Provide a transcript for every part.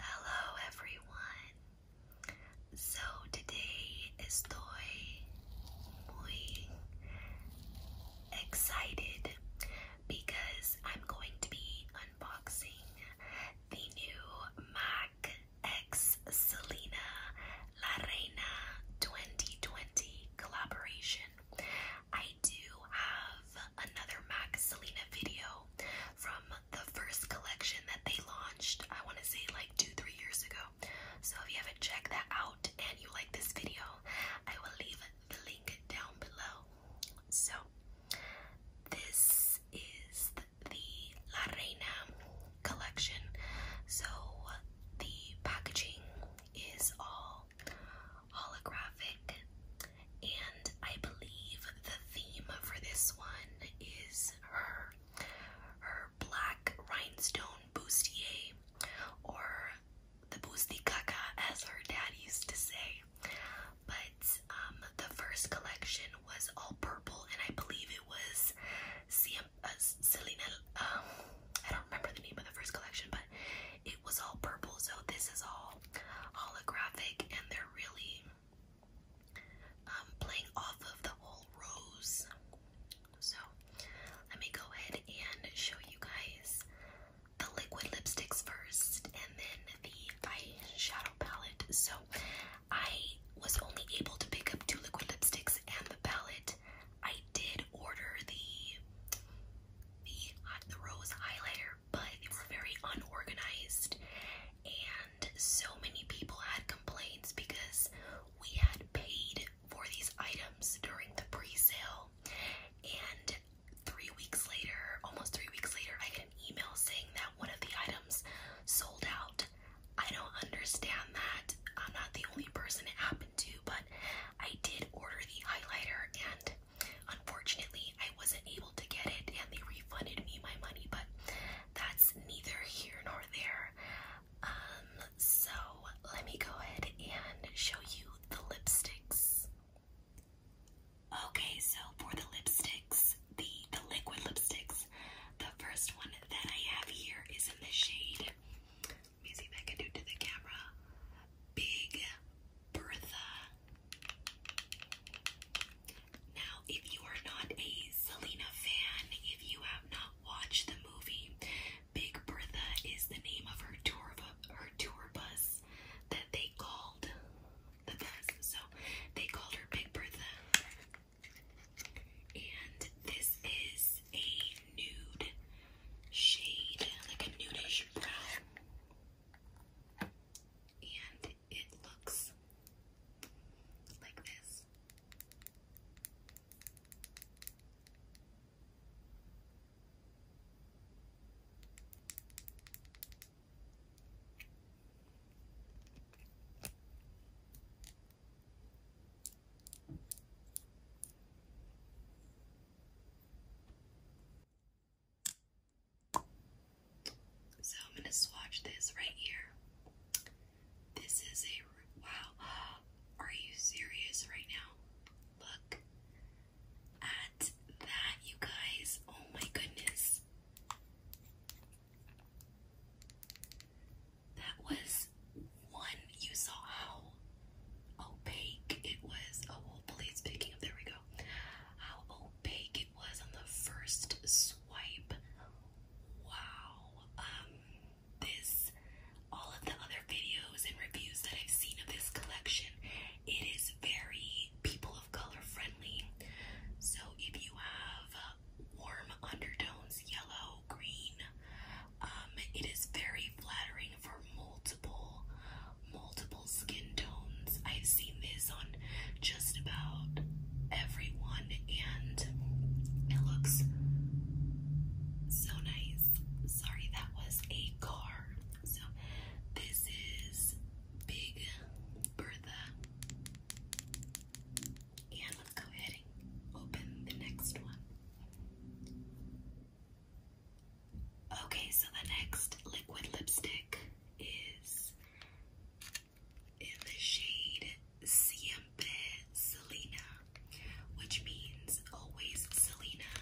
Hello everyone. So today estoy muy excited because I'm going to be unboxing the new My Black X Selena La Reina 2020 collaboration. I do have another MAC Selena video from the first collection that they launched, I want to say like two, three years ago. So if you haven't checked that out and you like this video, I will leave the link down below. So this is the La Reina collection. So the packaging is all holographic, and I believe the theme for this one is her her black rhinestone bustier, or the busti kaka, as her dad used to say. But um, the first collection was all purple, and I believe it was uh, Selena, um, I don't remember the name of the first collection, but it was all purple. So this is all holographic, and they're really um, playing off of the whole rose. So let me go ahead and show you guys the liquid lipsticks first, and then the eyeshadow palette. So I was only able to pick up two liquid lipsticks and the palette. I did order the the rose highlighter, but they were very unorganized, and so many people had complaints because we had paid for these items during the pre-sale, and three weeks later, almost three weeks later, I got an email saying that one of the items sold out I don't understand that. I'm not the only person it happened to, but I did order the highlighter and unfortunately I wasn't able to get it and they refunded me my money, but that's neither here nor there. Um so let me go ahead and show you the lipsticks. Okay, so for the lipsticks, the the liquid lipsticks the first one that I have here is in the shade. Let me see if I can do to the camera. Big Bertha. Now, if you are not a Selena fan, if you have not watched the movie, Big Bertha is the name of her tour of her tour bus that they called the bus. So they called her Big Bertha. And this is a nude shade, like a nudish brown. And it looks like this. So I'm going to swatch this right here. This is a wow. Are you serious right now? Look at that, you guys. Oh my goodness. That was one. You saw how opaque it was. Oh, well, please picking up. There we go. How opaque it was on the first swipe. Wow. Um, this, all of the other videos and reviews that I've seen of this collection, it is very people of color friendly. So if you have warm undertones, yellow, green. Um, it is very flattering for multiple, multiple skin tones. I've seen this on just about everyone, and it looks so nice. Sorry, that was a car. So, this is Big Bertha. And let's go ahead and open the next one. Okay, so the next liquid lipstick is in the shade Siempre Selena, which means always Selena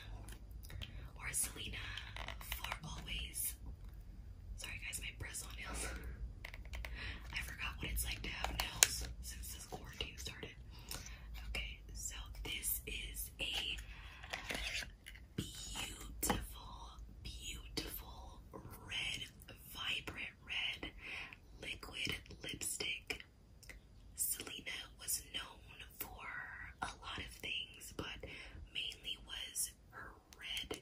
or Selena for always. Sorry guys, my press on nails. I forgot what it's like to have nails Okay, so this is a beautiful, beautiful red, vibrant red liquid lipstick. Selena was known for a lot of things, but mainly was her red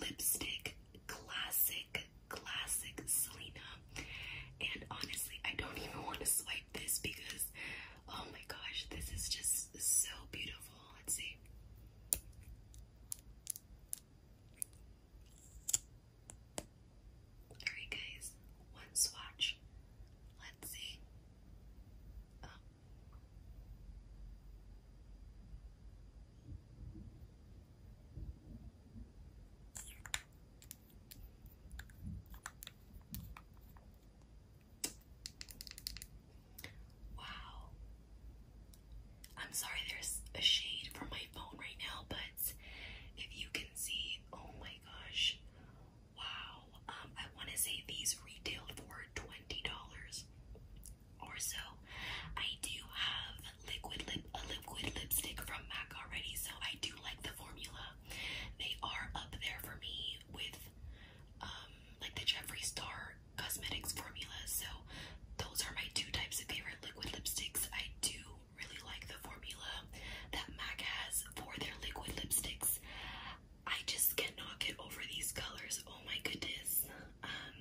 lipstick, classic, classic Selena. And honestly, I don't even want to swipe this because, oh my gosh, this is just so beautiful. Let's see. Alright, guys, one swatch. Let's see. Oh. Wow. I'm sorry there's a shade from my phone right now, but if you can see, oh my gosh. Wow. Um I want to say these retailed for $20 or so. I do have liquid lip a liquid lipstick from MAC already, so I do like the formula. They are up there for me with um like the Jeffree Star cosmetics formulas. So those are my two types of favorite liquid lipsticks. I do really like the formula that MAC has for their liquid lipsticks. I just cannot get over these colors. Oh my goodness. Um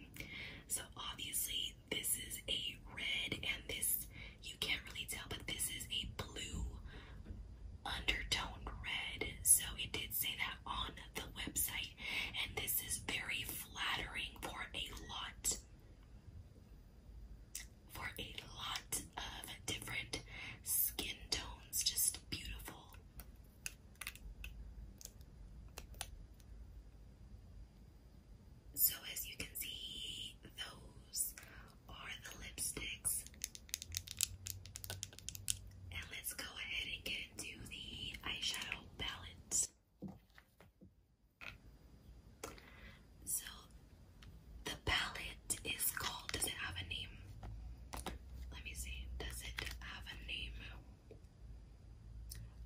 so obviously this is a red and this you can't really tell but this is a blue undertone red so it did say that on the website and this is very flattering for a lot for a lot of different skin tones just beautiful so, as you can see, those are the lipsticks. And let's go ahead and get into the eyeshadow palette. So, the palette is called, does it have a name? Let me see, does it have a name?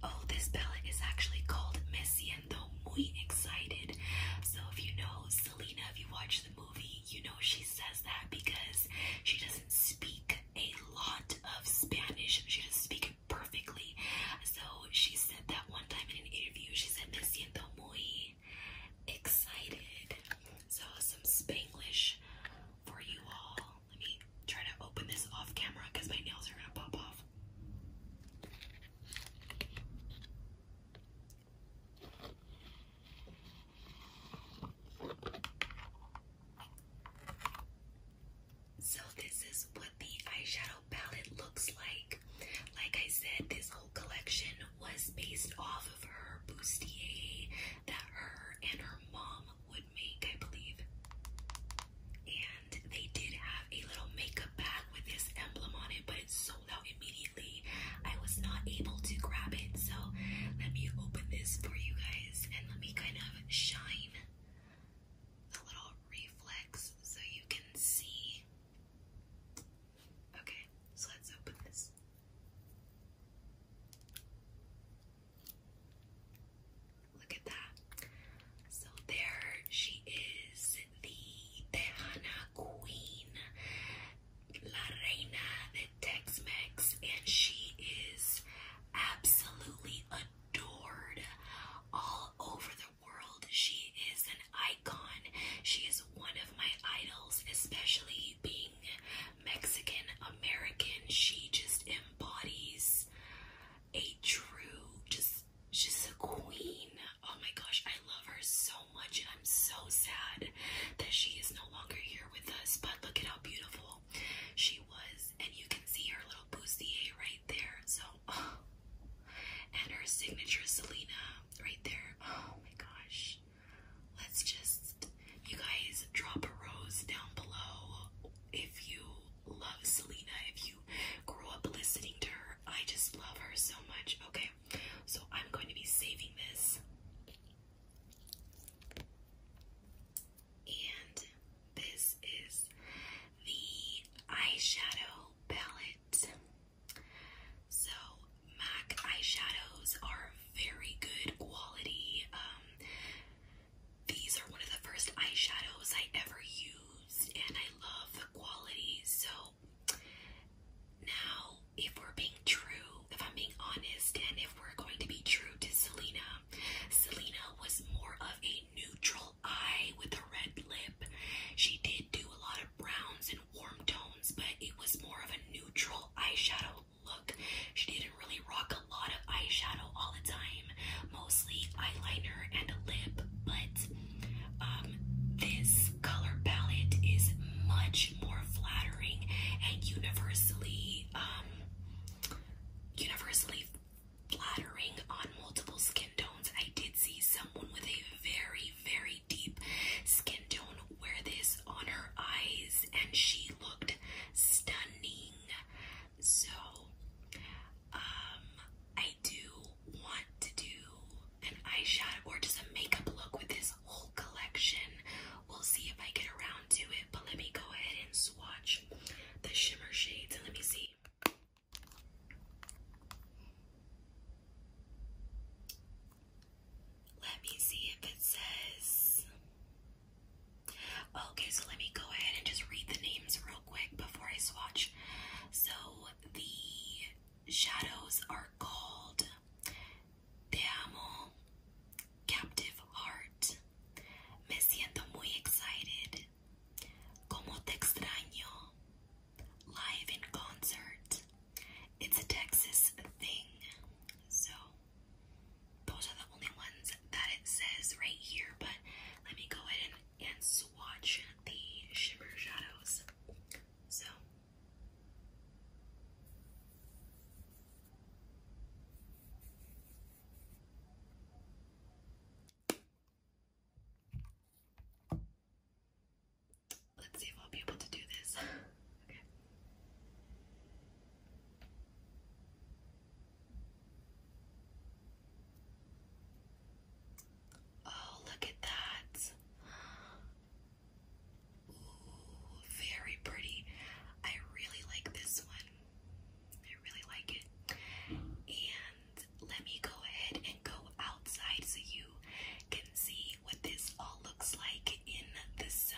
Oh, this palette is actually called Me Siento Muy Excited. So, if you know Selena, if you watch the movie, you know she says that because she doesn't speak a lot of Spanish, she doesn't speak it perfectly. So, she said that one time in an interview, she said, Me Siento Muy Excited. So, some Spanish for you all. Let me try to open this off camera because my nails are gonna pop off. So this is what the eyeshadow palette looks like. Like I said, this whole collection was based off of her bustier that her and her mom would make, I believe. And they did have a little makeup bag with this emblem on it, but it sold out immediately. I was not able to grab it, so let me open this for you guys and let me kind of shine the little reflex so you can see. Okay, so let's open this. Look at that. So there she is, the Tejana Queen, La Reina de Tex Mex, and she is absolutely adored all over the world. She is an icon. She is one of my idols, especially being Mexican American. She just embodies a true, just, she's a queen. Oh my gosh, I love her so much, and I'm so sad that she is no longer here with us. But look at how beautiful she was, and you can see her little bustier right there. So, and her signature Selena right there. Oh my gosh, let's just, you guys, drop a rose down below if you love Selena, if you grew up listening to her, I just love her so much. Okay, so I'm going to be saving this. And this is the eyeshadow palette. So, MAC eyeshadows are very good quality. Um, these are one of the first eyeshadows I ever used, and I love the quality. So, now if we're being true, if I'm being honest, and if we're going to be true to Selena, Selena was more of a neutral eye with a red lip. She did do a lot of browns and warm tones, but it was more of a neutral eyeshadow look. She didn't really rock a lot of eyeshadow all the time, mostly eyeliner and a lip, but um, this color palette is much more flattering and universally, um, universally flattering on multiple skin tones. I did see someone with a very, very deep skin tone wear this on her eyes, and she looked stunning. So, um, I do want to do an eyeshadow or just a makeup look with this whole collection. We'll see if I get around to it, but let me go ahead and swatch the shimmer shades and let me see. Let me see if it says Okay, so let me go ahead and just read the names real quick before I swatch. So the shadows are called Te Amo, Captive Heart, Me Siento Muy Excited, Como Te Extraño, Live in Concert, It's a Texas Thing. So those are the only ones that it says right here, but let me go ahead and and swatch the shimmer shadows. So Let's see if I'll be able to do this. okay. Oh, look at that. Ooh, very pretty. I really like this one. I really like it. And let me go ahead and go outside so you can see what this all looks like in the sun.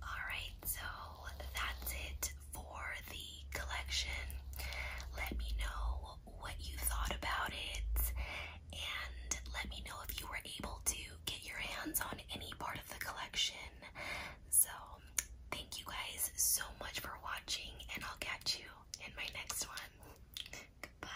Alright, so that's it for the collection. Let me know what you thought about it and let me know if you were able to get your hands on any part of the collection. So, thank you guys so much for watching, and I'll catch you in my next one. Goodbye.